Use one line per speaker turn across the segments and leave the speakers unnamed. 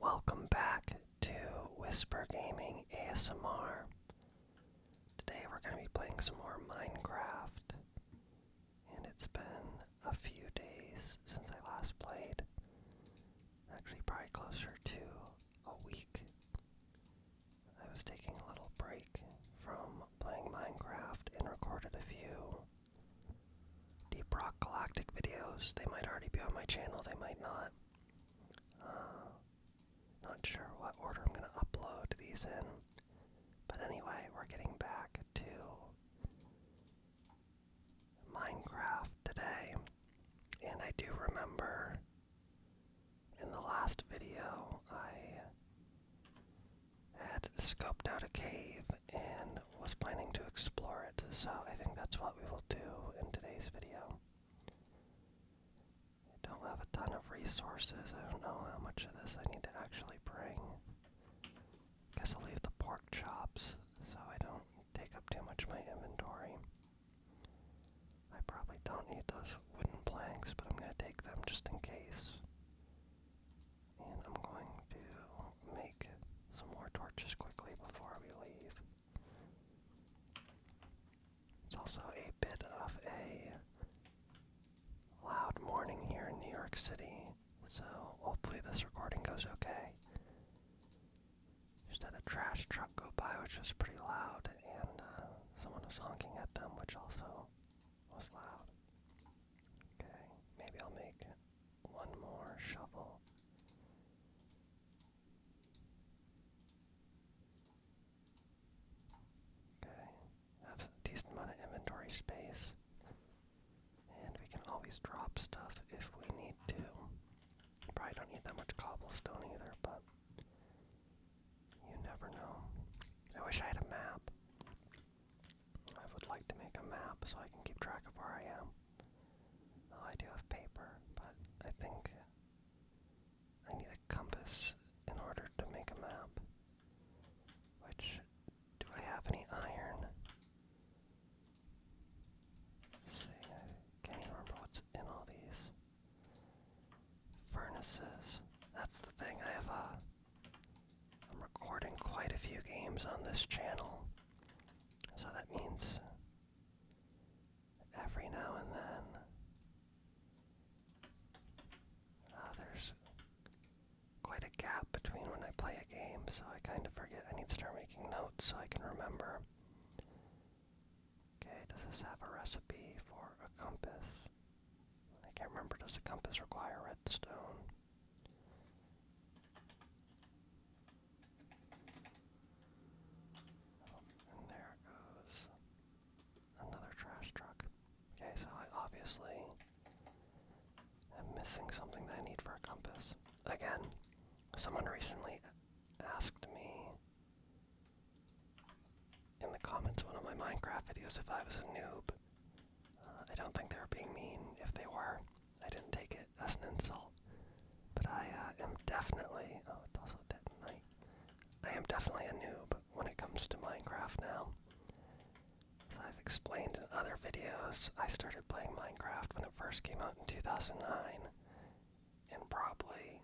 Welcome back to Whisper Gaming ASMR. Today we're going to be playing some more Minecraft. And it's been a few days since I last played. Actually, probably closer to a week. I was taking a little break from playing Minecraft and recorded a few Deep Rock Galactic videos. They might already be on my channel, they might not. Uh, not sure what order I'm going to upload these in. But anyway, we're getting back to Minecraft today. And I do remember in the last video I had scoped out a cave and was planning to explore it, so I think that's what we will do in today's video. I don't have a ton of resources. I don't know how much of this I need to actually bring. Guess I'll leave the pork chops so I don't take up too much of my inventory. I probably don't need those wooden planks, but I'm going to take them just in case. And I'm going to make some more torches quickly before we leave. It's also a bit of a loud morning here in New York City, so hopefully this recording goes okay. Just had a trash truck go by, which was pretty loud, and uh, someone was honking at them, which also was loud. Okay, maybe I'll make one more shovel. Okay, have a decent amount of inventory space. And we can always drop stuff if we need to. Probably don't need that much cobblestone either, but you never know. I wish I had a map. I would like to make a map so I can keep track of where I am. Oh, I do have paper, but I think I need a compass in order to make a map. Which, do I have any iron? see, I can't remember what's in all these. Furnaces. That's the thing, I have a. I'm recording quite a few games on this channel. So that means every now and then uh, there's quite a gap between when I play a game, so I kind of forget. I need to start making notes so I can remember. Okay, does this have a recipe for a compass? I can't remember. Does a compass require redstone? and there goes another trash truck. Okay, so I obviously am missing something that I need for a compass. Again, someone recently asked me in the comments one of my Minecraft videos if I was a noob. Uh, I don't think they were being mean. If they were, I didn't take it. That's an insult. But I uh, am definitely. Oh, it's also dead night. I am definitely a noob when it comes to Minecraft now. As I've explained in other videos, I started playing Minecraft when it first came out in 2009, and probably.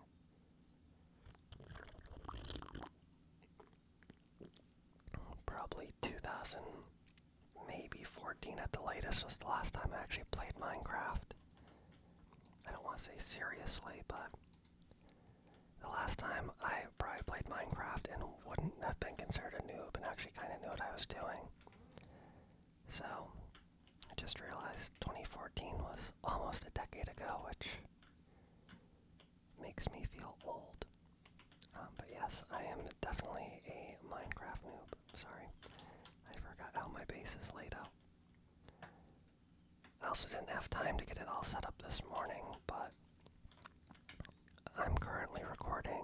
Probably 2000 maybe 14 at the latest was the last time I actually played Minecraft. I don't want to say seriously, but the last time I probably played Minecraft and wouldn't have been considered a noob and actually kind of knew what I was doing. So, I just realized 2014 was almost a decade ago, which makes me feel old. Um, but yes, I am definitely a Minecraft noob. Sorry. I forgot how my base is laid out. I also didn't have time to get it all set up this morning, but I'm currently recording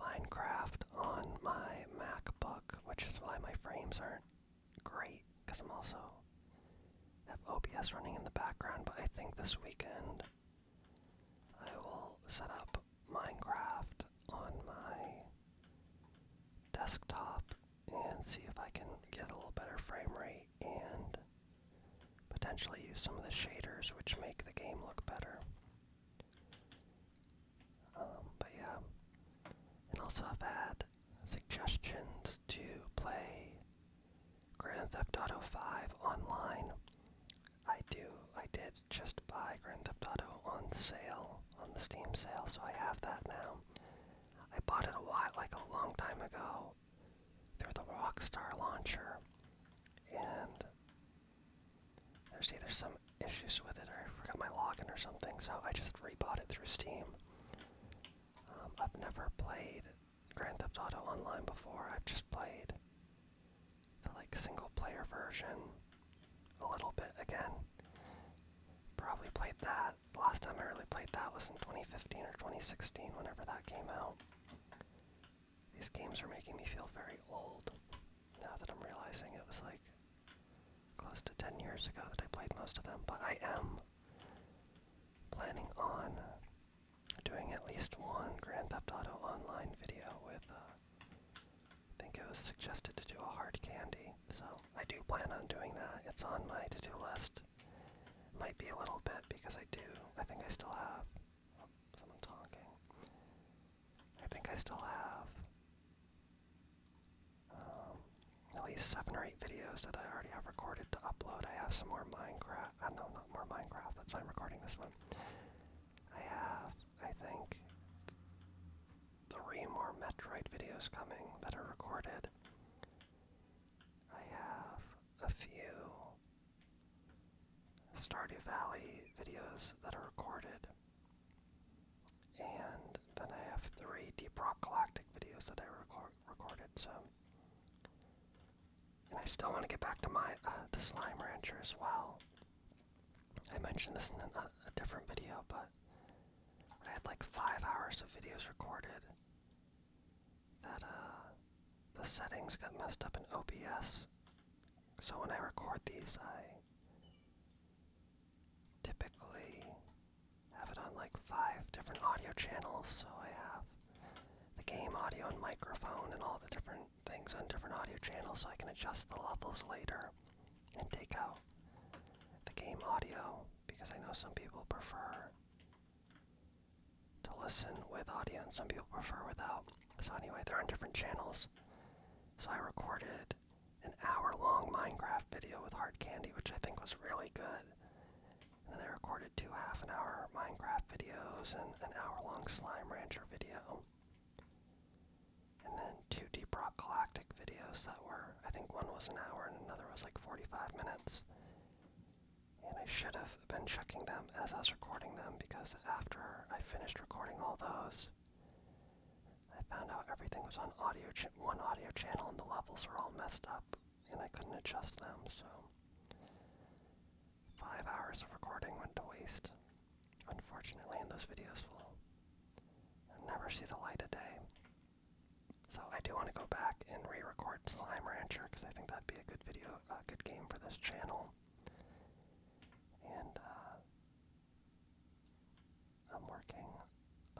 Minecraft on my MacBook, which is why my frames aren't great, because I'm also have OBS running in the background, but I think this weekend I will set up Minecraft on my desktop and see if I can get a little better frame rate and potentially use some of the shaders which make the game look better. Um, but yeah, and also I've had suggestions to play Grand Theft Auto 5 online. I do, I did just buy Grand Theft Auto on sale, on the Steam sale, so I have that now. I bought it a while, like a long time ago, through the Rockstar launcher, and there's either some issues with it or I forgot my login or something, so I just rebought it through Steam. Um, I've never played Grand Theft Auto Online before, I've just played the like single player version a little bit again. Probably played that. Last time I really played that was in 2015 or 2016, whenever that came out. These games are making me feel very old now that I'm realizing it was like close to 10 years ago that I played most of them, but I am planning on doing at least one Grand Theft Auto Online video with uh, I think it was suggested to do a hard candy, so I do plan on doing that. It's on my to-do list. Might be a little bit because I do. I think I still have. someone talking. I think I still have um, at least seven or eight videos that I already have recorded to upload. I have some more Minecraft. Uh, no, not more Minecraft. That's why I'm recording this one. I have, I think, three more Metroid videos coming that are recorded. I have a few Stardew Valley videos that are recorded. And then I have three Deep Rock Galactic videos that I recorded, so. And I still want to get back to my uh, the Slime Rancher as well. I mentioned this in a, different video, but I had like five hours of videos recorded that uh, the settings got messed up in OBS. So when I record these, I typically have it on like five different audio channels. So I have the game audio and microphone and all the different things on different audio channels so I can adjust the levels later and take out the game audio because I know some people prefer to listen with audio and some people prefer without. So anyway, they're on different channels. So I recorded an hour long Minecraft video with Hard Candy, which I think was really good. And then I recorded two half an hour Minecraft videos and an hour long Slime Rancher video. And then two Deep Rock Galactic videos that were, I think one was an hour and another was like 45 minutes. And I should have been checking them as I was recording them because after I finished recording all those, I found out everything was on audio one audio channel and the levels were all messed up and I couldn't adjust them, so five hours of recording went to waste. Unfortunately, and those videos will never see the light of day. So I do want to go back and re-record Slime Rancher because I think that'd be a good video, a good game for this channel. And uh, I'm working.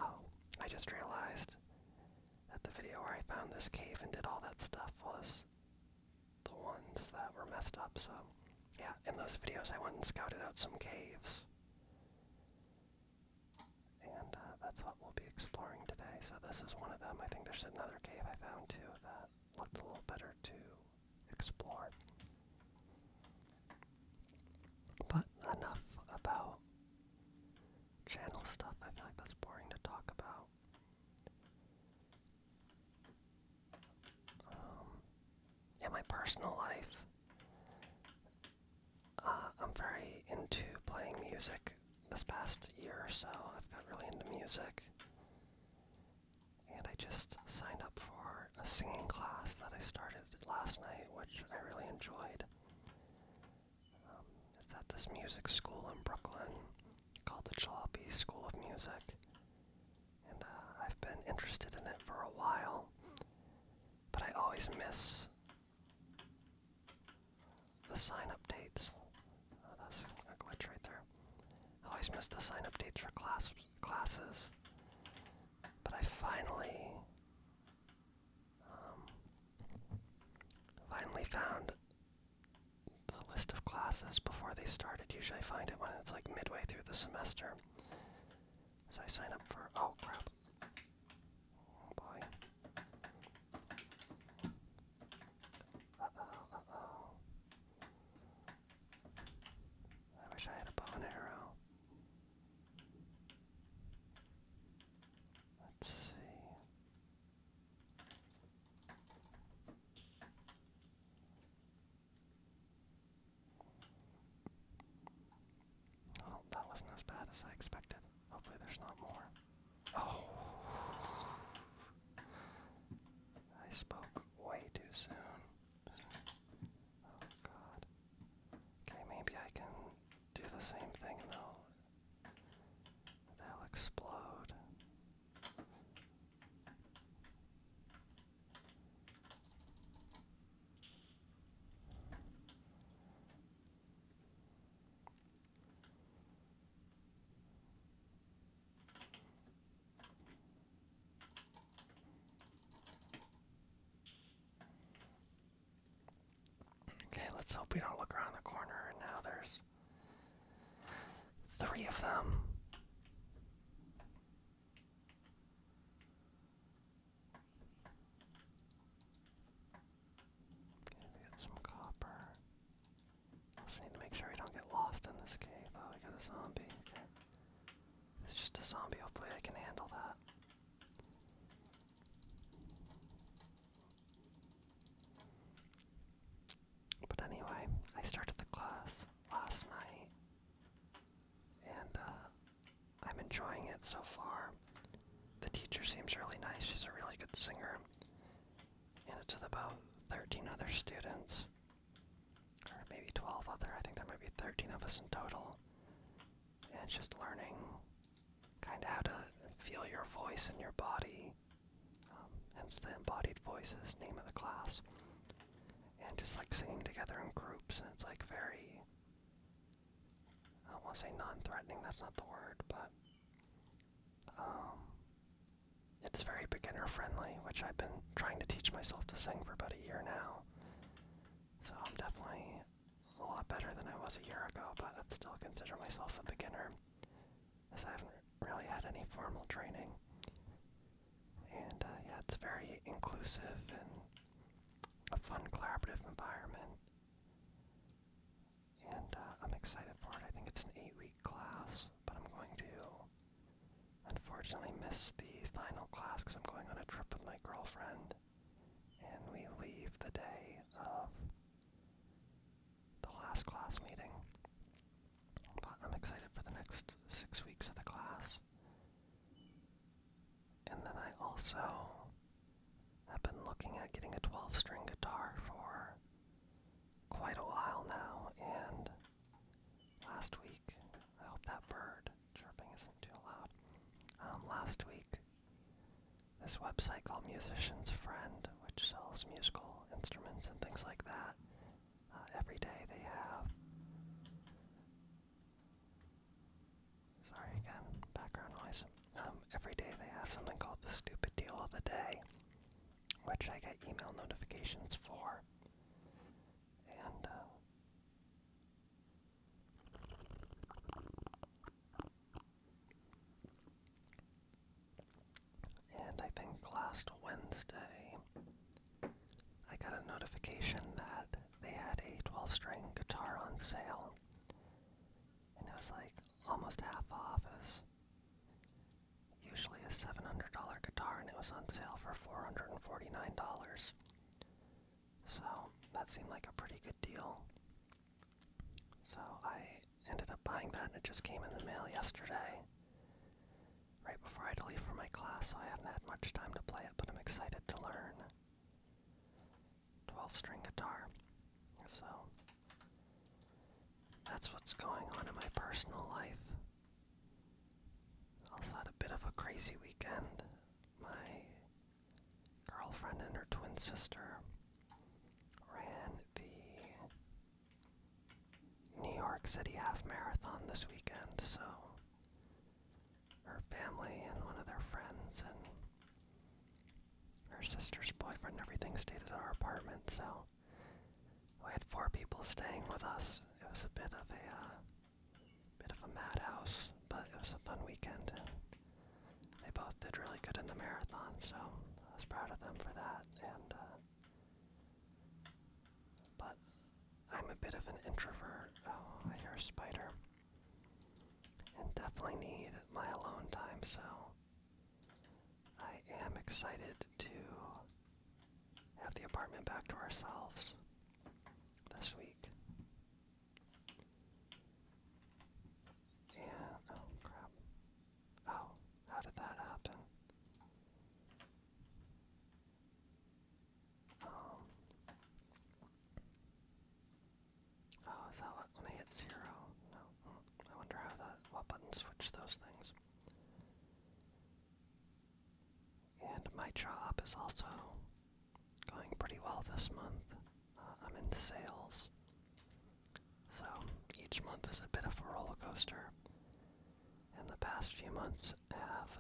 Oh, I just realized that the video where I found this cave and did all that stuff was the ones that were messed up. So, yeah, in those videos, I went and scouted out some caves. And uh, that's what we'll be exploring today. So, this is one of them. I think there's another cave I found too that looked a little better to explore. But enough about channel stuff. I feel like that's boring to talk about. Um, yeah, my personal life. Uh, I'm very into playing music this past year or so. I've got really into music. And I just signed up for a singing class that I started last night, which I really enjoyed. Um, it's at this music school in Brooklyn called the Jalopy School of Music and uh, I've been interested in it for a while, but I always miss the sign updates. Oh, that's a glitch right there. I always miss the sign updates for class classes, but I finally, um, finally found the list of classes before they started. Usually find it when it's like midway through the semester. So I sign up for, oh crap. Oh boy. I wish I had a bow and arrow. Let's see. Well, oh, that wasn't as bad as I expected. Hopefully there's not more. Oh! I spoke way too soon. Oh god. Okay, maybe I can do the same thing though. They'll explode. Okay, let's hope we don't look around the corner and now there's Three of them. Okay, we got some copper. just need to make sure we don't get lost in this cave. Oh, we got a zombie. Okay. It's just a zombie. Hopefully I can handle that. But anyway, I started the class last night, and uh, I'm enjoying it so far. The teacher seems really nice, she's a really good singer, and it's with about 13 other students, or maybe 12 other, I think there might be 13 of us in total, and just learning kind of how to feel your voice in your body um, hence the embodied voices name of the class. And just like singing together in groups, and it's like very, I don't want to say non-threatening, that's not the word, but um, it's very beginner friendly, which I've been trying to teach myself to sing for about a year now. So I'm definitely a lot better than I was a year ago, but I still consider myself a beginner, as I haven't really had any formal training. And uh, yeah, it's very inclusive and a fun collaborative environment. And uh, I'm excited for it. I think it's an eight week class, but I'm going to unfortunately miss the final class because I'm going on a trip with my girlfriend. And we leave the day of the last class meeting. But I'm excited for the next six weeks of the class. And then I also have been looking at getting a 12 string guitar for quite a while now, and last week, I hope that bird chirping isn't too loud. Um, last week, this website called Musician's Friend, which sells musical instruments and things like that, uh, every day they have. Sorry again, background noise. Um, every day they have something called the stupid deal of the day, which I get email notifications for. And, uh, and I think last Wednesday, I got a notification that they had a 12 string guitar on sale. And it was like almost half off. Is usually a $700 guitar, and it was on sale for $449. So that seemed like a pretty good deal. So I ended up buying that, and it just came in the mail yesterday right before I had to leave for my class, so I haven't had much time to play it, but I'm excited to learn. 12 string guitar. So, that's what's going on in my personal life. Also had a bit of a crazy weekend. My girlfriend and her twin sister ran the New York City Half Marathon this weekend, so her family and one of their friends and her sister's boyfriend everything stayed at our apartment, so we had four people staying with us. It was a bit of a uh, bit of a madhouse, but it was a fun weekend they both did really good in the marathon, so I was proud of them for that and uh, but I'm a bit of an introvert. Oh, I hear a spider. And definitely need my alone time, so I am excited to have the apartment back to ourselves this week. And, oh crap. Oh, how did that happen? Um, oh, is that what, when I hit zero? No. Hmm, I wonder how that, what button switched those things. And my job is also going pretty well this month. Uh, I'm in sales. So each month is a bit of a roller coaster and the past few months have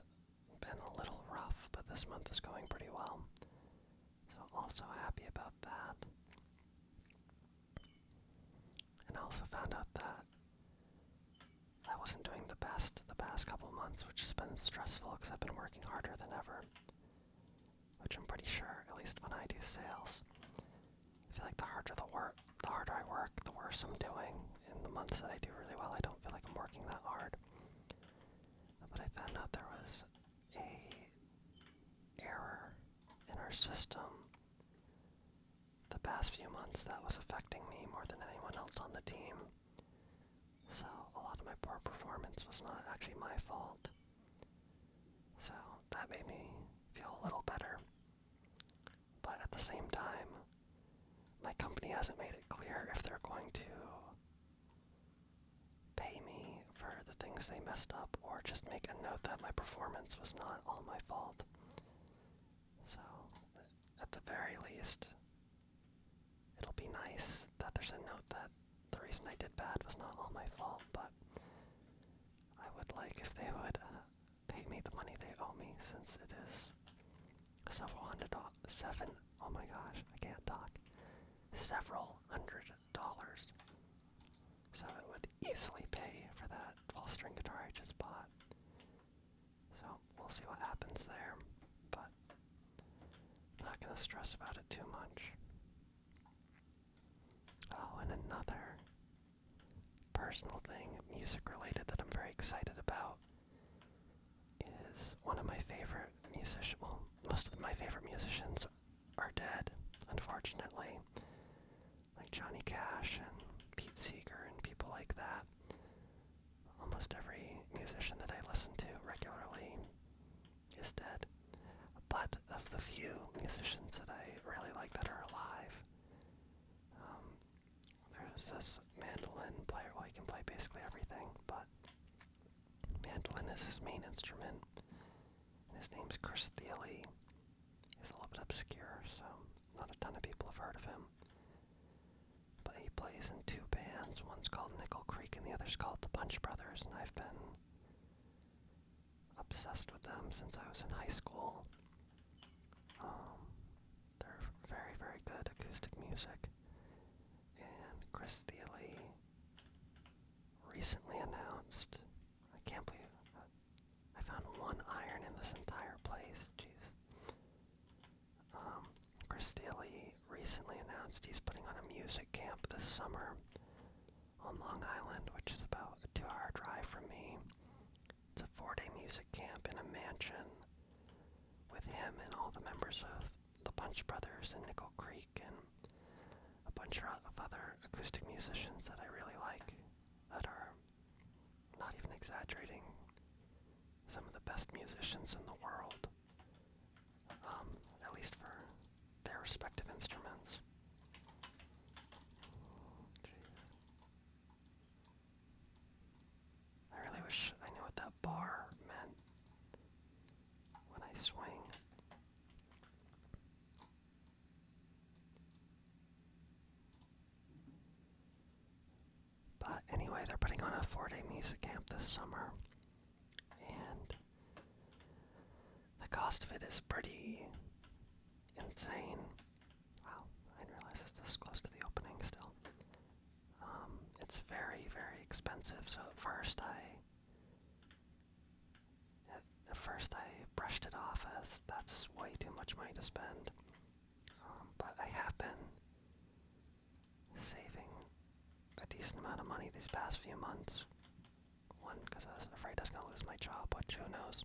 been a little rough, but this month is going pretty well. So, also happy about that. And I also found out that I wasn't doing the best the past couple months, which has been stressful because I've been working harder than ever. Which I'm pretty sure, at least when I do sales, I feel like the harder the work, the harder I work, the worse I'm doing. In the months that I do really well, I don't feel like I'm working that hard. But I found out there was a error in our system the past few months that was affecting me more than anyone else on the team. So a lot of my poor performance was not actually my fault. So that made me feel a little better. But at the same time, my company hasn't made it clear if they're going to pay me for the things they messed up or just make a note that my performance was not all my fault. So, at the very least, it'll be nice that there's a note that the reason I did bad was not all my fault, but I would like if they would uh, pay me the money they owe me since it is several hundred dollars. Oh my gosh, I can't talk. Several hundred dollars. So it would easily pay for that 12 string guitar I just bought. So we'll see what happens there, but I'm not gonna stress about it too much. Oh, and another personal thing, music related, that I'm very excited about is one of my favorite musicians. Well, most of my favorite musicians are dead, unfortunately, like Johnny Cash and Pete Seeger and people like that. Almost every musician that I listen to regularly is dead. But of the few musicians that I really like that are alive, um, there's this mandolin player. Well, he can play basically everything, but mandolin is his main instrument. And his name's Chris Thiele. He's a little bit obscure, so not a ton of people have heard of him. But he plays in two bands. One's called Nickel Creek and the other's called the Punch Brothers, and I've been obsessed with them since I was in high school. Um, they're very, very good acoustic music. And Chris Thiele recently announced. I can't believe I found one iron in this entire place. Jeez. Um, Chris Thiele recently announced he's putting on a music camp this summer on Long Island, which is about a two-hour drive from me. It's a four day music camp in a mansion with him and all the members of the Punch Brothers and Nickel Creek and a bunch of other acoustic musicians that I really like that are not even exaggerating some of the best musicians in the world, um, at least for their respective instruments. I really wish I knew what that bar meant when I swing. But anyway, they're putting on a four day music camp this summer, and the cost of it is pretty insane. Wow, I didn't realize it's this close to the opening still. Um, it's very, very expensive, so at first I at, first I brushed it off as that's way too much money to spend. Um, but I have been saving a decent amount of money these past few months. One, because I was afraid I was going to lose my job, but who knows.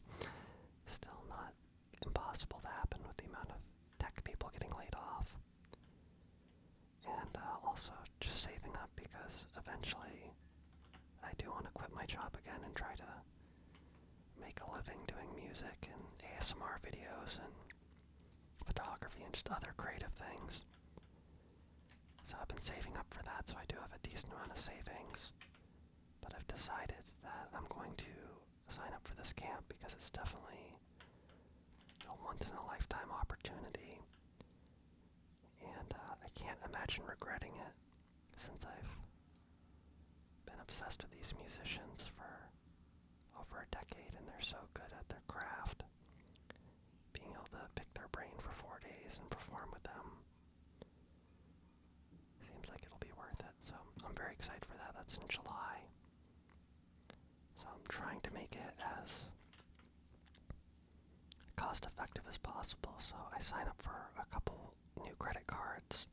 Still not impossible to happen with the amount of tech people getting laid off. And uh, also just saving up because eventually I do want to quit my job again and try to make a living doing music and ASMR videos and photography and just other creative things. So I've been saving up for that, so I do have a decent amount of savings. But I've decided that I'm going to sign up for this camp because it's definitely a once in a lifetime opportunity. And uh, I can't imagine regretting it since I've been obsessed with these musicians for over a decade and they're so good at their craft. Being able to pick their brain for four days and perform with them Seems like it'll be worth it, so I'm very excited for that. That's in July. So I'm trying to make it as cost effective as possible, so I sign up for a couple new credit cards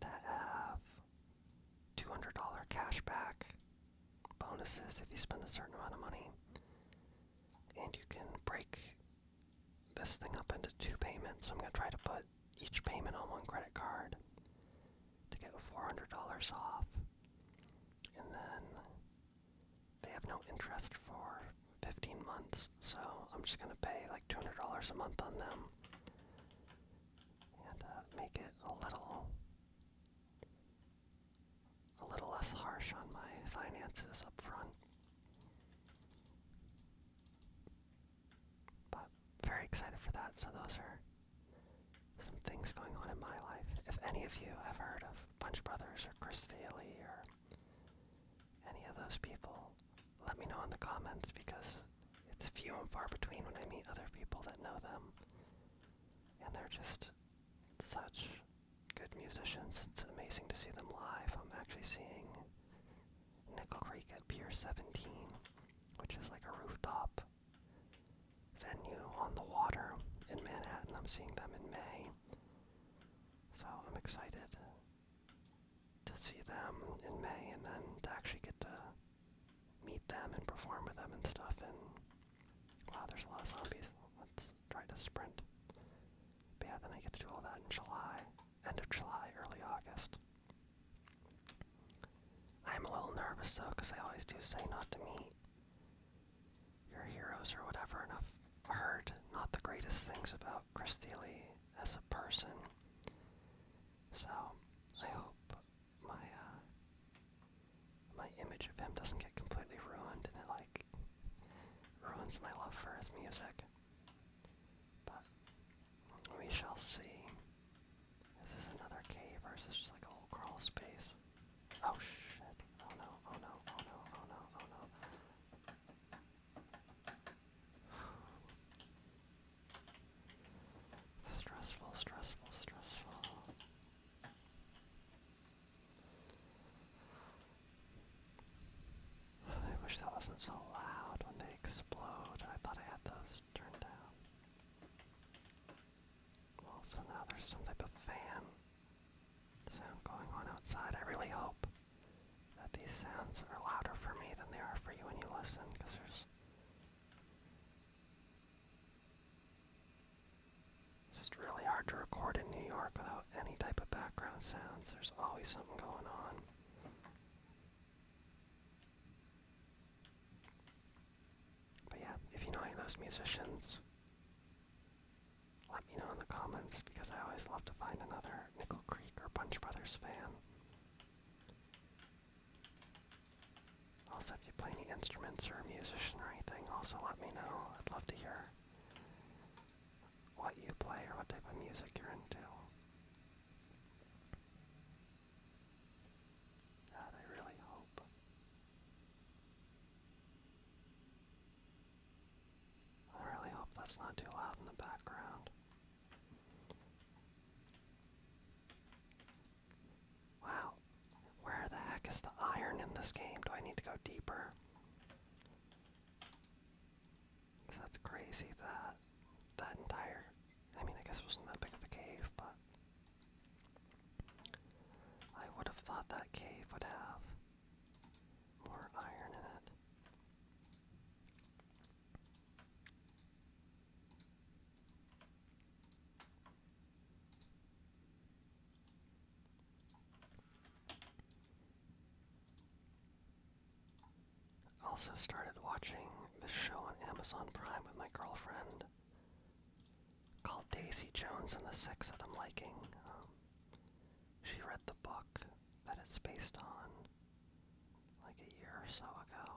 that have $200 cash back bonuses if you spend a certain amount of money. And you can break this thing up into two payments. I'm going to try to put each payment on one credit card to get $400 off. And then they have no interest for 15 months, so I'm just going to pay like $200 a month on them and uh, make it a little a little less harsh on my finances up front. But very excited for that. So those are some things going on in my life. If any of you have heard of Punch Brothers or Chris Daly or any of those people, let me know in the comments because it's few and far between when I meet other people that know them. And they're just such good musicians. It's amazing to see them live. I'm actually seeing Nickel Creek at Pier 17, which is like a rooftop venue on the water in Manhattan. I'm seeing them in May. So I'm excited to see them in May and then to actually get to meet them and perform with them and stuff. And wow, there's a lot of zombies. Let's try to sprint. But yeah, then I get to do all that in July end of July, early August. I am a little nervous though, because they always do say not to meet your heroes or whatever, and I've heard not the greatest things about Chris Thiele as a person. So I hope my uh, my image of him doesn't get completely ruined and it like ruins my love for his music. But we shall see. Is this another cave or is this just like a little crawl space? Oh shit. Oh no, oh no, oh no, oh no, oh no. stressful, stressful, stressful. I wish that wasn't so loud when they explode. I thought I had those turned down. Also now there's some type of fan sound going on outside. I really hope that these sounds are louder for me than they are for you when you listen, because there's just really hard to record in New York without any type of background sounds. There's always something going on. But yeah, if you know any those musicians, let me know in the comments because I always love to find another Nickel Creek or Punch Brothers fan. Also, if you play any instruments or a musician or anything, also let me know. I'd love to hear what you play or what type of music you're into. I really hope. I really hope that's not too loud in the background. Wow, where the heck is the iron in this game? Do I need to go deeper? that's crazy that that entire I mean I guess it wasn't that big of a cave, but I would have thought that cave would have more iron in it. Also started watching this show on Amazon Prime with my girlfriend called Daisy Jones and the Six that I'm liking. Um, she read the book that it's based on like a year or so ago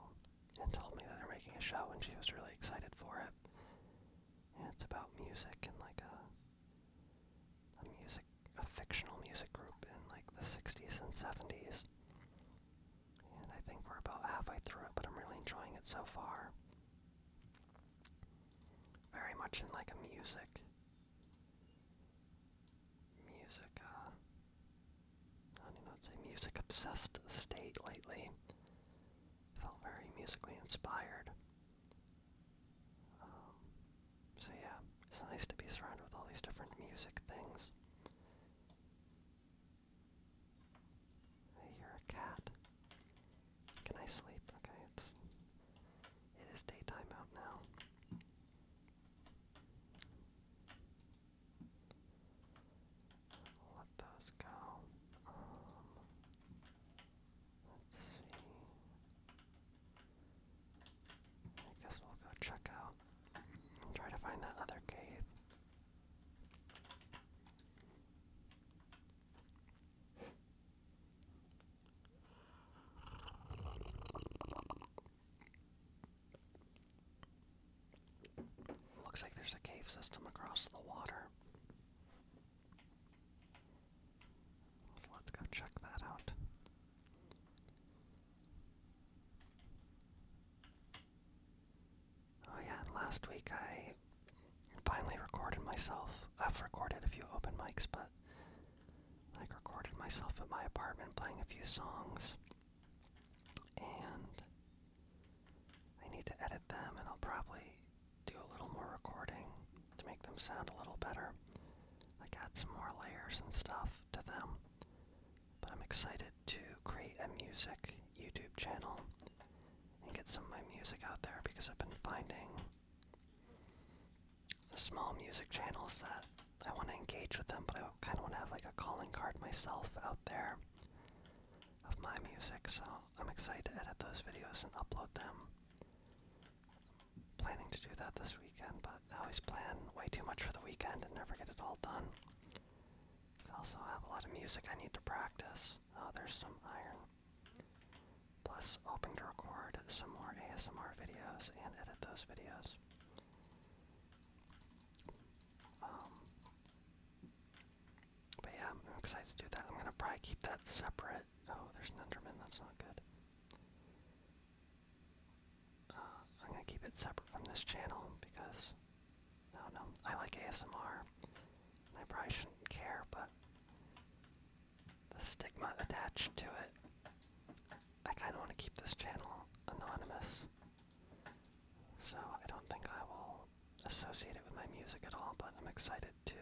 and told me that they're making a show and she was really excited for it. And it's about music and like a a music music, a fictional music group in like the 60s and 70s. And I think we're about halfway through it, but I'm really enjoying it so far. Very much in like a music, music, uh, I don't even know what to say, music obsessed state lately. Felt very musically inspired. Um, so yeah, it's nice to be surrounded with all these different music things. I cat. Can I sleep? Okay, it's it is daytime out now. Let those go. Um, let's see. I guess we'll go check out and try to find that other cave. Looks like there's a cave system across the water. let's go check that out. Oh yeah, last week I finally recorded myself. I've recorded a few open mics, but like recorded myself at my apartment playing a few songs. And I need to edit them and I'll probably do a little more recording to make them sound a little better. Like add some more layers and stuff to them. But I'm excited to create a music YouTube channel and get some of my music out there because I've been finding the small music channels that I want to engage with them, but I kind of want to have like a calling card myself out there of my music, so I'm excited to edit those videos and upload them. planning to do that this weekend, but I always plan way too much for the weekend and never get it all done. I have a lot of music I need to practice. Oh, there's some iron. Plus, hoping to record some more ASMR videos and edit those videos. Um, but yeah, I'm excited to do that. I'm gonna probably keep that separate. Oh, there's an Enderman. That's not good. Uh, I'm gonna keep it separate from this channel because I don't know. I like ASMR, and I probably shouldn't care, but the stigma attached to it. I kind of want to keep this channel anonymous, so I don't think I will associate it with my music at all. But I'm excited to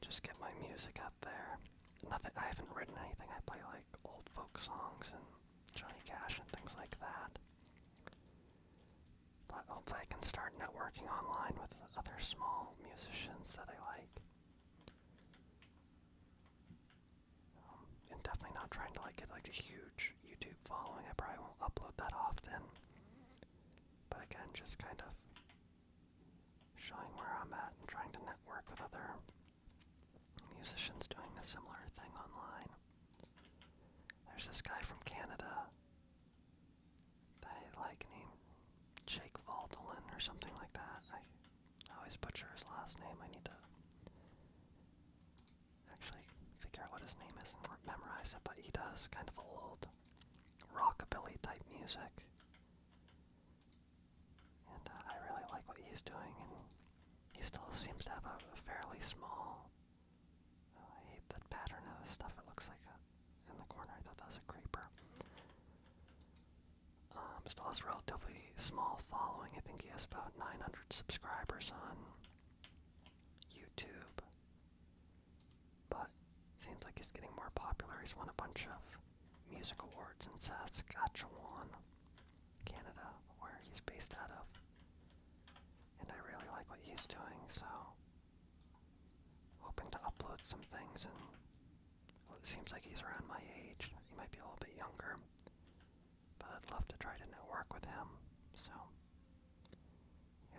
just get my music there. Nothing. I haven't written anything. I play like old folk songs and Johnny Cash and things like that. But hopefully, I can start networking online with other small musicians that I like. Um, and definitely not trying to like get like a huge YouTube following. I probably won't upload that often. But again, just kind of showing where I'm at and trying to network with other musicians doing a similar thing online. There's this guy from Canada. I like named Jake Valdelin or something like that. I always butcher his last name. I need to actually figure out what his name is and memorize it. But he does kind of old rockabilly type music. And uh, I really like what he's doing, and he still seems to have a, fairly small. Uh, I hate the pattern of stuff. It looks like in the corner. I thought that was a creeper. Um, still has relatively small following. I think he has about 900 subscribers on YouTube. But seems like he's getting more popular. He's won a bunch of Music Awards in Saskatchewan, Canada, where he's based out of. And I really like what he's doing, so hoping to upload some things and it seems like he's around my age. He might be a little bit younger. But I'd love to try to network with him. So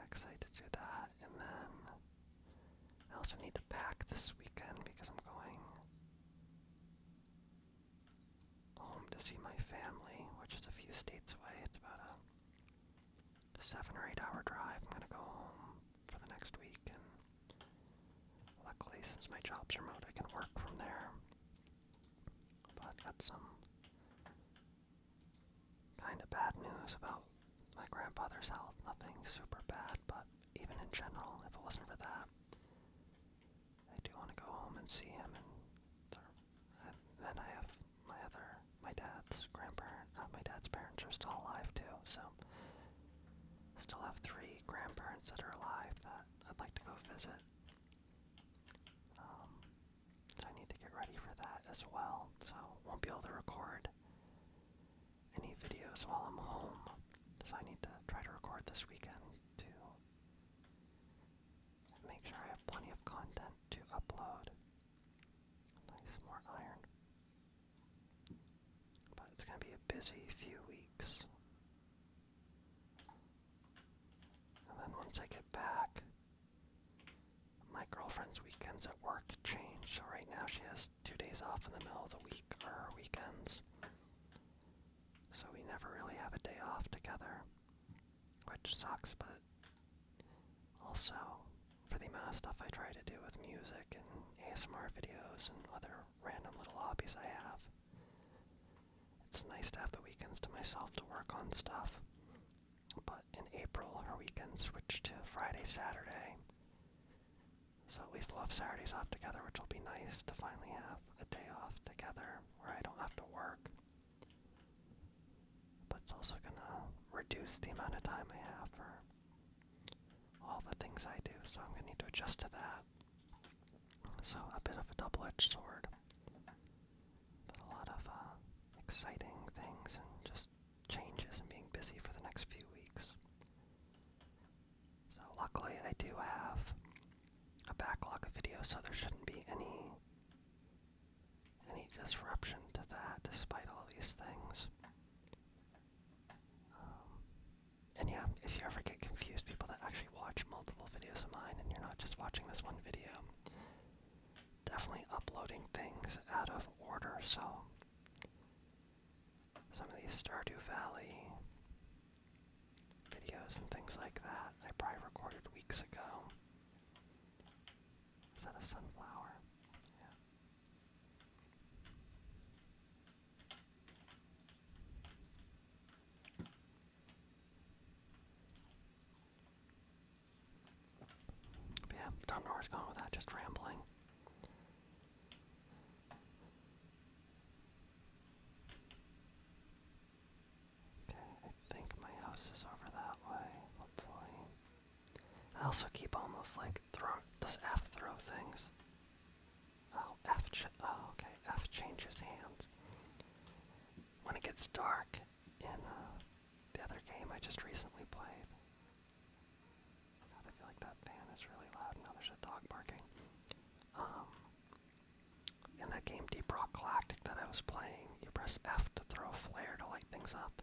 excited to do that. And then I also need to pack this weekend because I'm going home to see my family, which is a few states away. It's about a seven or eight hour drive. I'm gonna go home for the next week, and luckily, since my job's remote, I can work from there. But I got some kind of bad news about my grandfather's health. Nothing super bad, but even in general, if it wasn't for that, I do want to go home and see him. And th then I have my other, my dad's grandparent, uh, my dad's parents are still alive too, so I still have three grandparents that are alive that I'd like to go visit. Um, so I need to get ready for that as well. So won't be able to record any videos while I'm home. So I need to try to record this weekend to make sure I have plenty of content to upload. Nice, more iron. But it's going to be a busy few weeks. And then once I get back, my girlfriend's weekends at work change. So right now she has two days off in the middle of the week or weekends. So we never really have a day off together, which sucks, but also for the amount of stuff I try to do with music and ASMR videos and other random little hobbies I have, it's nice to have the weekends to myself to work on stuff. But in April, our weekends switch to Friday, Saturday. So at least we'll have Saturdays off together, which will be nice to finally have a day off together where I don't have to work. But it's also gonna reduce the amount of time I have for all the things I do, so I'm gonna need to adjust to that. So a bit of a double-edged sword, but a lot of uh, exciting things and just changes and being busy for the next few weeks. So luckily I do have a backlog of videos so there shouldn't be any any disruption to that despite all these things. Um, and yeah, if you ever get confused, people that actually watch multiple videos of mine and you're not just watching this one video, definitely uploading things out of order, so some of these Stardew Valley videos and things like that I probably recorded weeks ago. Is that a sunflower? Yeah. yeah, don't know where it's going with that, just rambling. Okay, I think my house is over that way, hopefully. I also keep almost like throw does F throw things. Oh, F ch oh, okay, F changes hands. When it gets dark in uh, the other game I just recently played. I feel like that fan is really loud. Now there's a dog barking. in um, that game Deep Rock Galactic that I was playing, you press F to throw flare to light things up.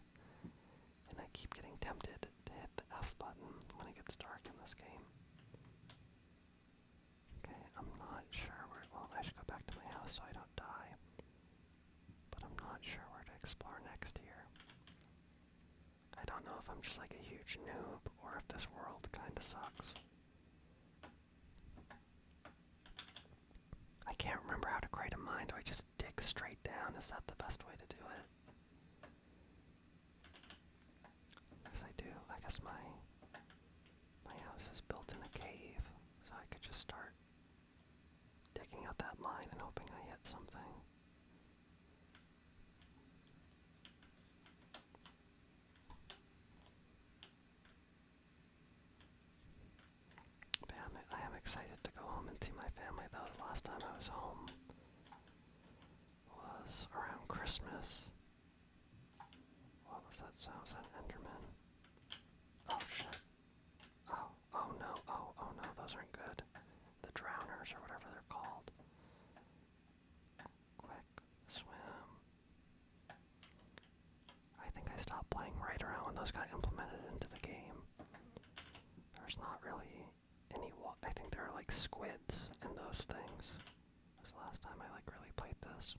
And I keep getting tempted to hit the F button when it gets dark in this game. Okay, I'm not sure where. Well, I should go back to my house so I don't die. But I'm not sure where to explore next here. I don't know if I'm just like a huge noob or if this world kinda sucks. I can't remember how to create a mine. Do I just dig straight down? Is that the best way to do it? Yes, I do. I guess my my house is built in a cave, so I could just start digging out that mine and hoping I hit something. I'm, excited to go home and see my family, though. The last time I was home was around Christmas. What was that sound? that Enderman? Oh shit. Oh, oh no, oh, oh no, those aren't good. The drowners or whatever they're called. Quick swim. I think I stopped playing right around when those got implemented into the game. There's not really any I think there are like squids in those things. This last time I like really played this.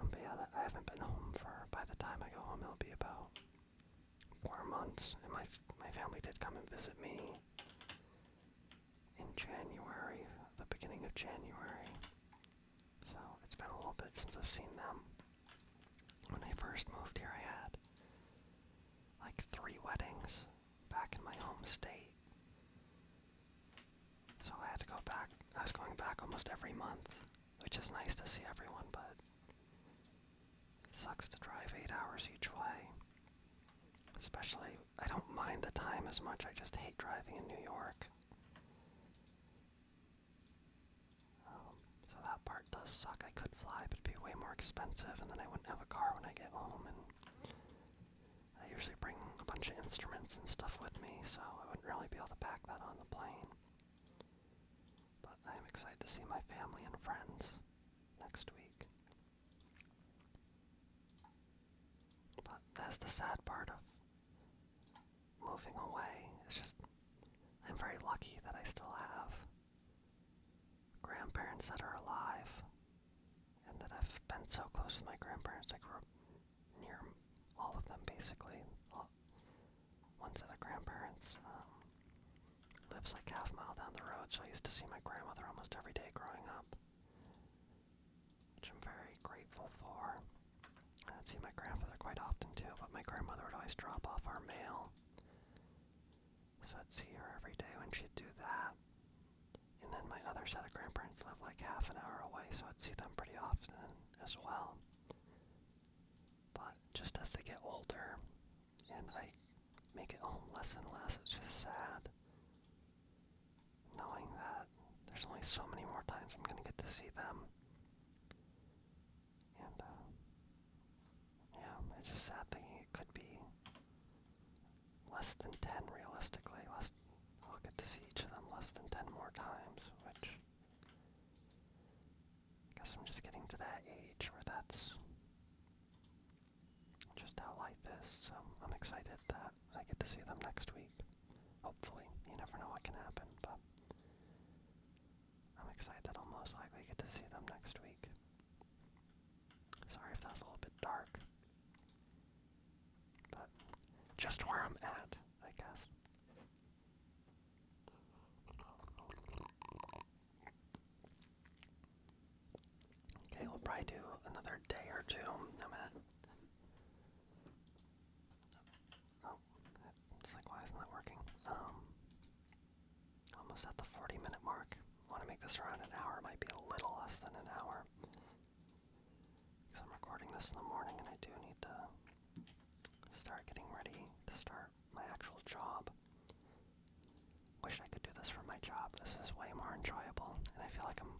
Um, but yeah, I haven't been home for. By the time I go home, it'll be about four months, and my my family did come and visit me in January, the beginning of January. So it's been a little bit since I've seen them. When I first moved here, I had like three weddings back in my home state. So I had to go back. I was going back almost every month, which is nice to see everyone, but it sucks to drive eight hours each way. Especially, I don't mind the time as much, I just hate driving in New York. Um, so that part does suck. I could fly, but it'd be way more expensive, and then I wouldn't have a car when I get home. And I usually bring a bunch of instruments and stuff with me, so I wouldn't really be able to pack that on the plane. But I'm excited to see my family and friends next week. But that's the sad part of moving away. It's just, I'm very lucky that I still have grandparents that are alive and that I've been so close with my grandparents. I grew up near all of them basically. All, ones that grandparents. Um, Lives like half mile down the road, so I used to see my grandmother almost every day growing up. Which I'm very grateful for. I'd see my grandfather quite often too, but my grandmother would always drop off our mail. So I'd see her every day when she'd do that. And then my other set of grandparents live like half an hour away, so I'd see them pretty often as well. But just as they get older, and I make it home less and less. It's just sad knowing that there's only so many more times I'm gonna get to see them. And uh, yeah, it's just sad thinking it could be less than ten realistically. Less I'll get to see each of them less than ten more times, which I Guess I'm just getting to that age where that's just how life is. So I'm excited that I get to see them next week. Hopefully, you never know what can happen, but I'm excited that I'll most likely get to see them next week. Sorry if that's a little bit dark, but just where I'm at, I guess. Okay, we'll probably do another day or two. I'm Oh, it's like why isn't working? Um, almost at the 40 minute mark. Want to make this around an hour? Might be a little less than an hour. Because I'm recording this in the morning, and I do need to start getting ready to start my actual job. Wish I could do this for my job. This is way more enjoyable, and I feel like I'm,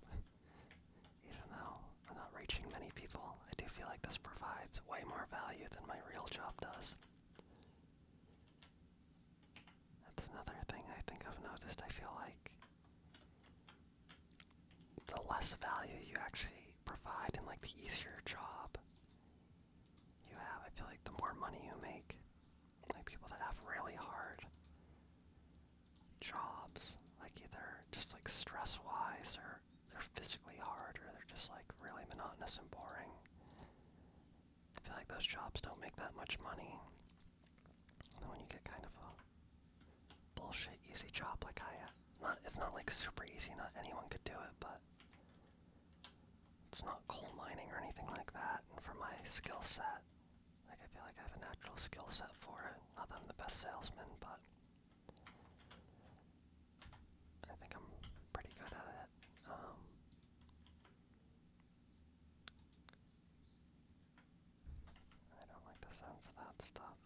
even though I'm not reaching many people, I do feel like this provides way more value than my real job does. That's another thing I think I've noticed. I feel like the less value you actually provide and like the easier job you have, I feel like the more money you make, like people that have really hard jobs, like either just like stress wise or they're physically hard or they're just like really monotonous and boring. I feel like those jobs don't make that much money. And when you get kind of a bullshit easy job like I, not it's not like super easy, not anyone could do it, but it's not coal mining or anything like that, and for my skill set, like I feel like I have a natural skill set for it. Not that I'm the best salesman, but I think I'm pretty good at it. Um, I don't like the sounds of that stuff.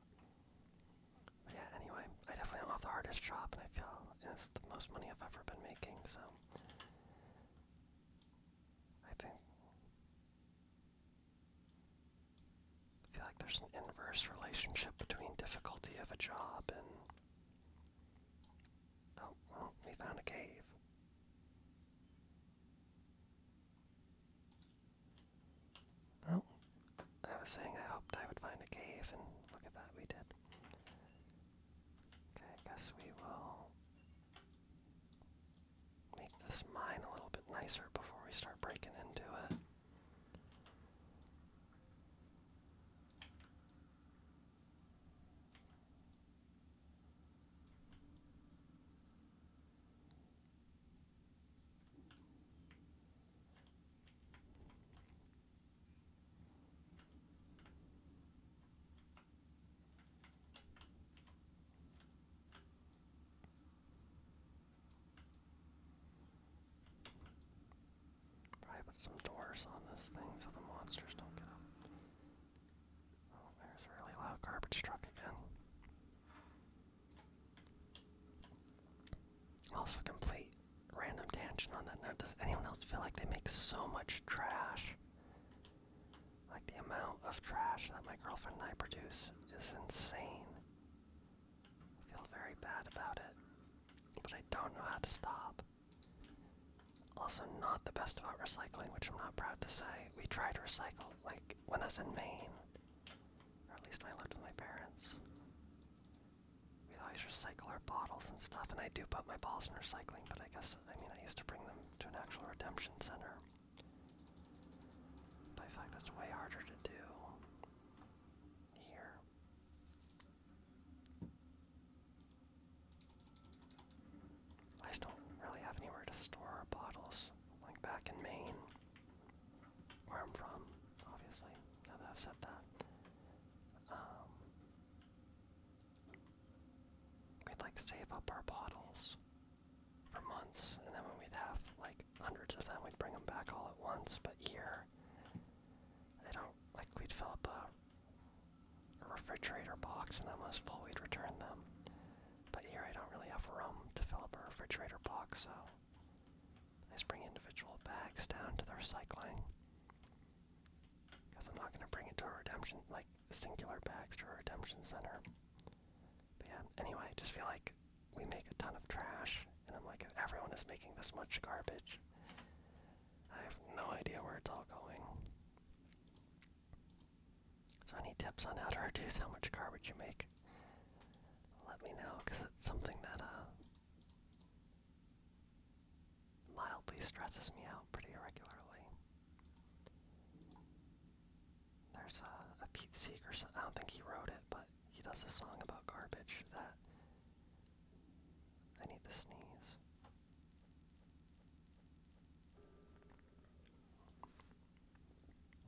But yeah, anyway, I definitely am off the hardest job, and I feel it's the most money I've ever been making, so I think. I feel like there's an inverse relationship between difficulty of a job and. Oh, we found a cave. Oh, I was saying I hoped I would find a cave, and look at that, we did. Okay, I guess we will make this mine a little bit nicer before we start breaking into it. Probably put some doors on this thing so the monsters don't get up. Oh, there's a really loud garbage truck again. Also complete random tangent on that note. Does anyone else feel like they make so much trash? Like the amount of trash that my girlfriend and I produce is insane. I feel very bad about it, but I don't know how to stop. Also, not the best about recycling, which I'm not proud to say. We try to recycle, like when I was in Maine, or at least I lived with my parents we always recycle our bottles and stuff, and I do put my balls in recycling, but I guess, I mean, I used to bring them to an actual redemption center. But I feel like that's way harder to do here. I don't really have anywhere to store our bottles, like back in Maine, where I'm from, obviously, now that I've said that. Um, We'd like save up our bottles for months, and then when we'd have like hundreds of them, we'd bring them back all at once. But here, I don't like we'd fill up a, refrigerator box, and then once full, we'd return them. But here, I don't really have room to fill up a refrigerator box, so I just bring individual bags down to the recycling. Because I'm not going to bring it to a redemption, like, singular bags to a redemption center. But yeah, anyway, just feel like we make a ton of trash, and I'm like, everyone is making this much garbage. I have no idea where it's all going. So any tips on how to reduce how much garbage you make? Let me know, because it's something that uh, mildly stresses me out pretty regularly. There's a, Pete Seeger I don't think he wrote it, but he does a song about garbage that I need to sneeze.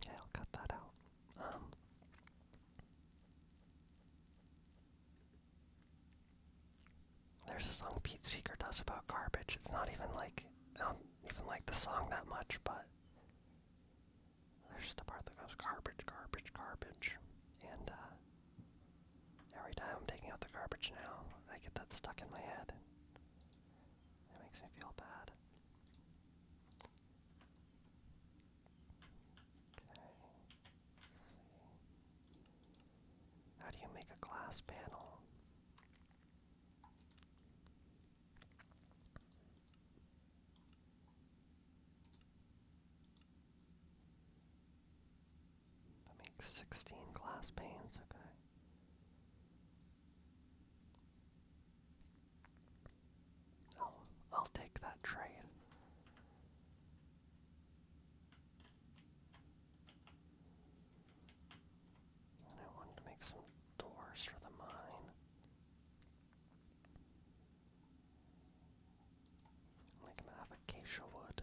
Yeah, I'll cut that out. Um, there's a song Pete Seeger does about garbage. It's not even like I don't even like the song that much, but there's the part that goes garbage, garbage, garbage. And uh every time I'm taking out the garbage now, I get that stuck in my head. And it makes me feel bad. How do you make a glass panel? That makes 16 glass panes, okay. Oh, I'll take that trade. I wanted to make some doors for the mine. I'm out of acacia wood.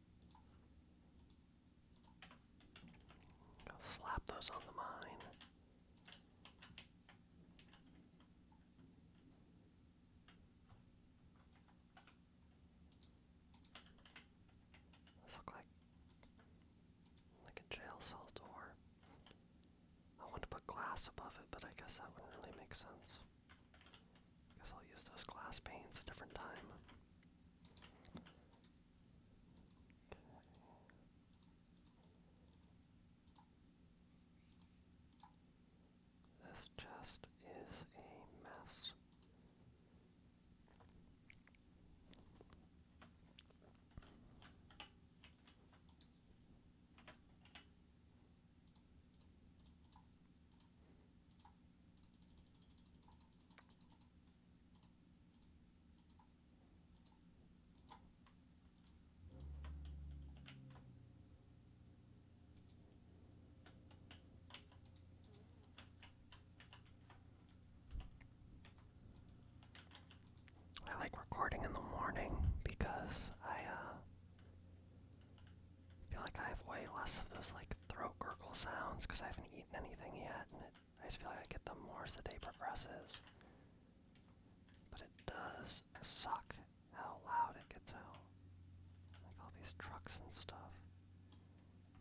slap those on the mine. This like like a jail cell door. I want to put glass above it, but I guess that wouldn't really make sense. Guess I'll use those glass panes a different time. This chest is a mess. I like recording in the morning because I uh, I feel like I have way less of those like throat gurgle sounds because I haven't eaten anything yet, and I just feel like I get them more as the day progresses. But it does suck how loud it gets out. Like all these trucks and stuff.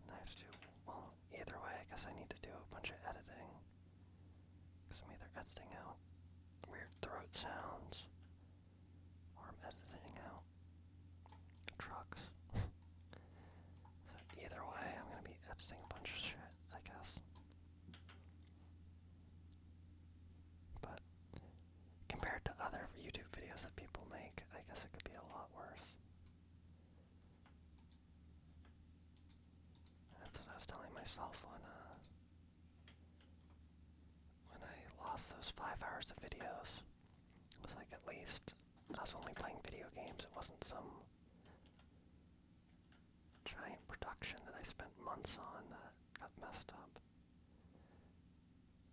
And I have to do, well, either way, I guess I need to do a bunch of editing. Because I'm either editing out weird throat sounds or i editing out trucks. so either way, I'm gonna be editing a bunch of shit, I guess. But compared to other YouTube videos that people make, I guess it could be a lot worse. That's what I was telling myself on uh when I lost those five hours of videos it's like at least I was only playing video games. It wasn't some giant production that I spent months on that got messed up.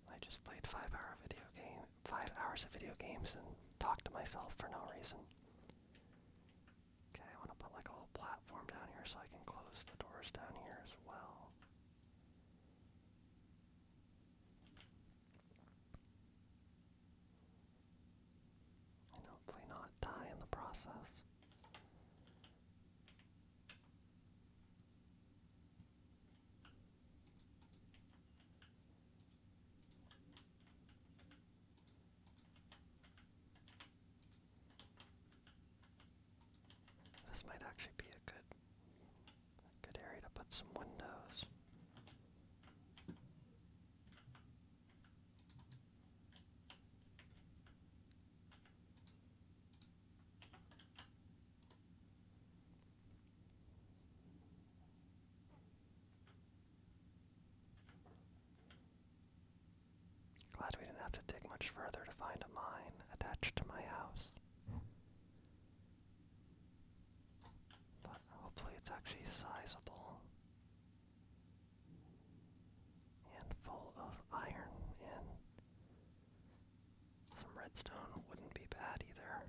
I just played five hour video game five hours of video games and talked to myself for no reason. Okay, I want to put like a little platform down here so I can close the doors down here as well. And hopefully not die in the process. This might actually be a good good area to put some windows. Glad we didn't have to dig much further to find a mine attached to my house. But hopefully it's actually sizable and full of iron and some redstone wouldn't be bad either.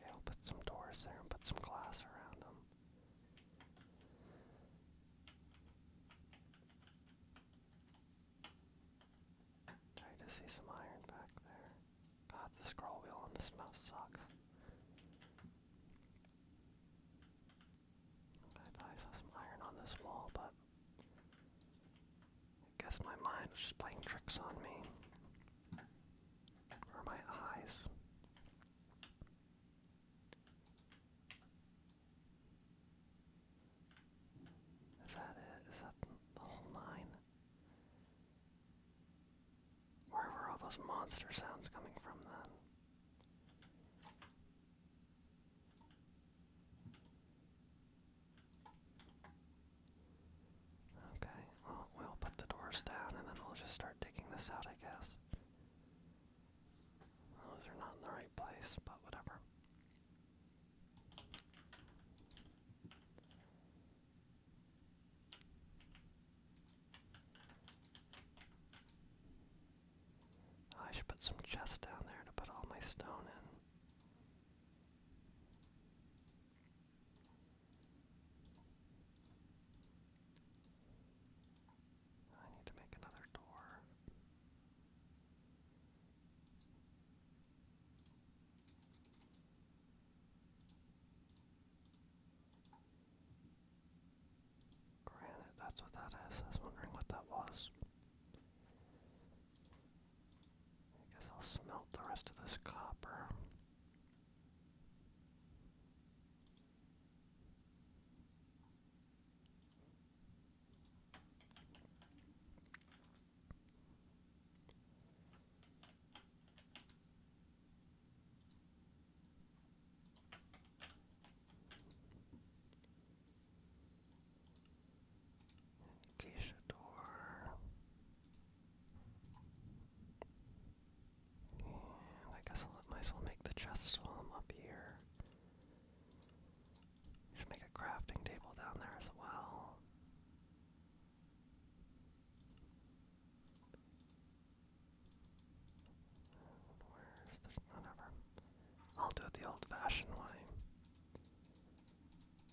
Yeah, I'll put some doors there and put some glass around them. I just see some iron back there. God, the scroll wheel on this mouse sucks. I thought I saw some iron on this wall, but I guess my mind was just playing tricks on me. Or my eyes. Is that it? Is that the whole nine? Where were all those monster sounds coming from then? Okay, well, we'll put the doors down and then we'll just start digging this out, I guess. Those are not in the right place, but whatever. I should put some chests down there to put all my stone in. I need to make another door. Granite, that's what that is. I was wondering what that was. I guess I'll smelt the rest of this copper. Acacia door. I guess I'll let myself make the chest swam up here. Should make a crafting table down there as well. Where's whatever? I'll do it the old-fashioned way. So I'm gonna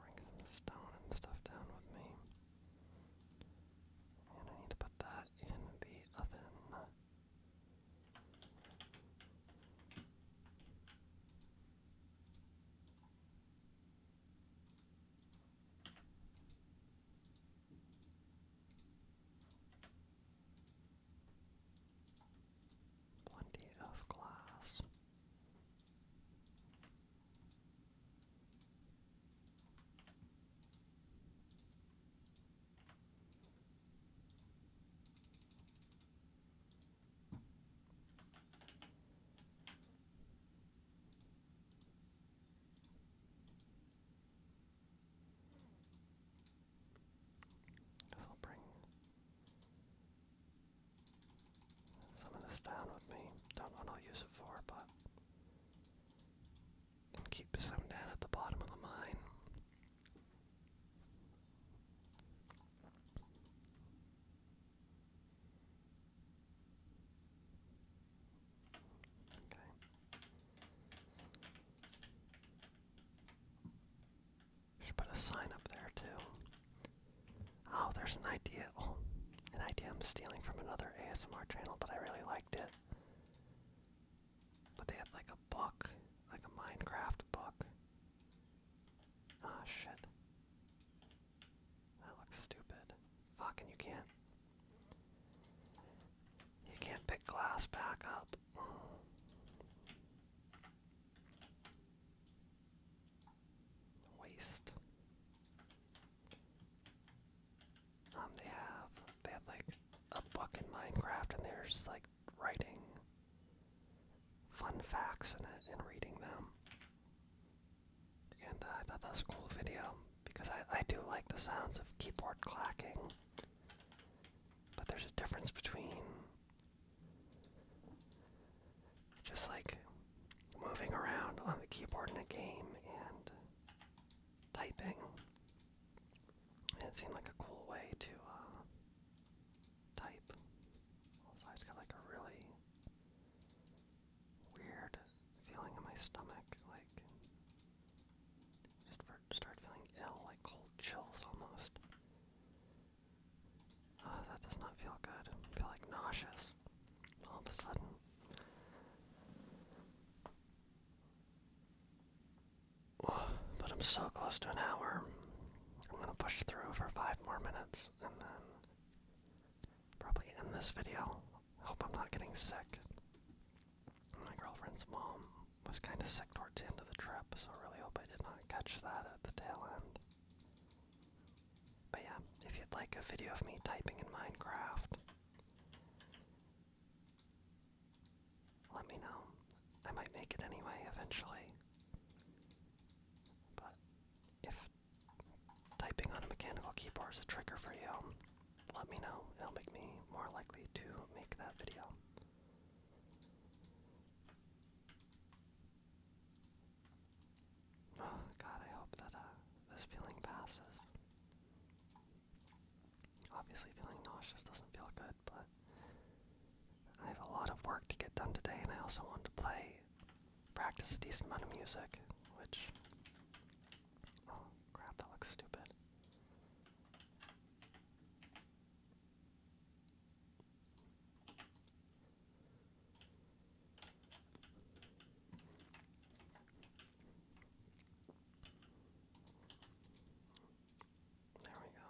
bring some stuff down with me. And I need to put that in the oven. Plenty of glass. This will bring some of this down with me. Don't know what I'll use it for, but. keep some down at the bottom of the mine. Okay. Should put a sign up there too. Oh, there's an idea. Oh, an idea I'm stealing from another ASMR channel, but I really liked it. But they had like a book, like a Minecraft book. Ah, oh, shit. That looks stupid. Fucking you can't. You can't pick glass back up. Waste. Um, they have, they have like a book in Minecraft and there's like writing fun facts in it and reading them. And uh, I thought that was a cool video because I, I do like the sounds of keyboard clacking. But there's a difference between just like moving around on the keyboard in a game and typing. it seemed like a cool way to uh, type. Also, I just got like a really weird feeling in my stomach, like just start feeling ill, like cold chills almost. Uh, that does not feel good. I feel like nauseous all of a sudden. But I'm so close to an hour. I'm gonna push through for five more minutes and then probably end this video. Hope I'm not getting sick. My girlfriend's mom was kind of sick towards the end of the trip, so I really hope I did not catch that at the tail end. But yeah, if you'd like a video of me typing in Minecraft, let me know. I might make it anyway eventually. But if typing on a mechanical keyboard is a trigger for you, let me know. It'll make me more likely to make that video. Oh god, I hope that uh, this feeling passes. Obviously, feeling nauseous doesn't feel good but I have a lot of work to get done today, and I also want to play, practice a decent amount of music, which. Oh, crap, that looks stupid. There we go.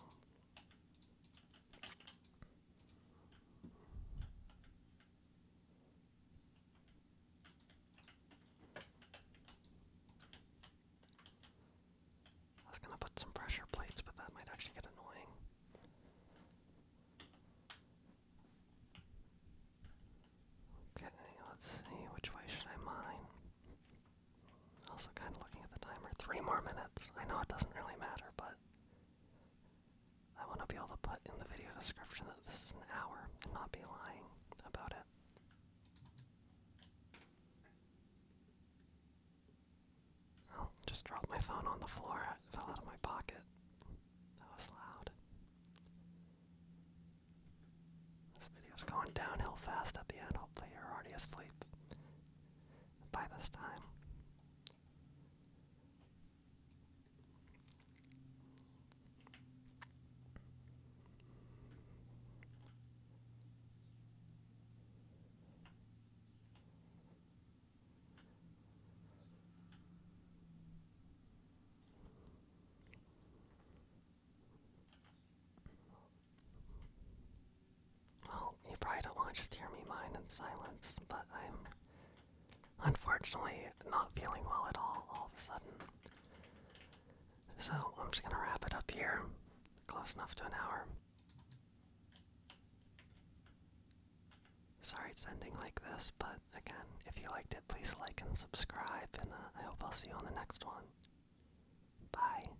I was gonna put some pressure plates, but that might actually get annoying. Okay, let's see, which way should I mine? Also, kind of looking at the timer. Three more minutes. I know it doesn't really matter, but I want to be able to put in the video description that this is an hour and not be lying about it. Oh, just dropped my phone on the floor. It fell out of my pocket. That was loud. This video's going downhill fast at the end. Hopefully, you're already asleep by this time. Well, you probably don't want to just hear me mine in silence, but I'm unfortunately not feeling well at all all of a sudden. So I'm just gonna wrap it up here, close enough to an hour. Sorry it's ending like this, but again, if you liked it, please like and subscribe, and uh, I hope I'll see you on the next one. Bye.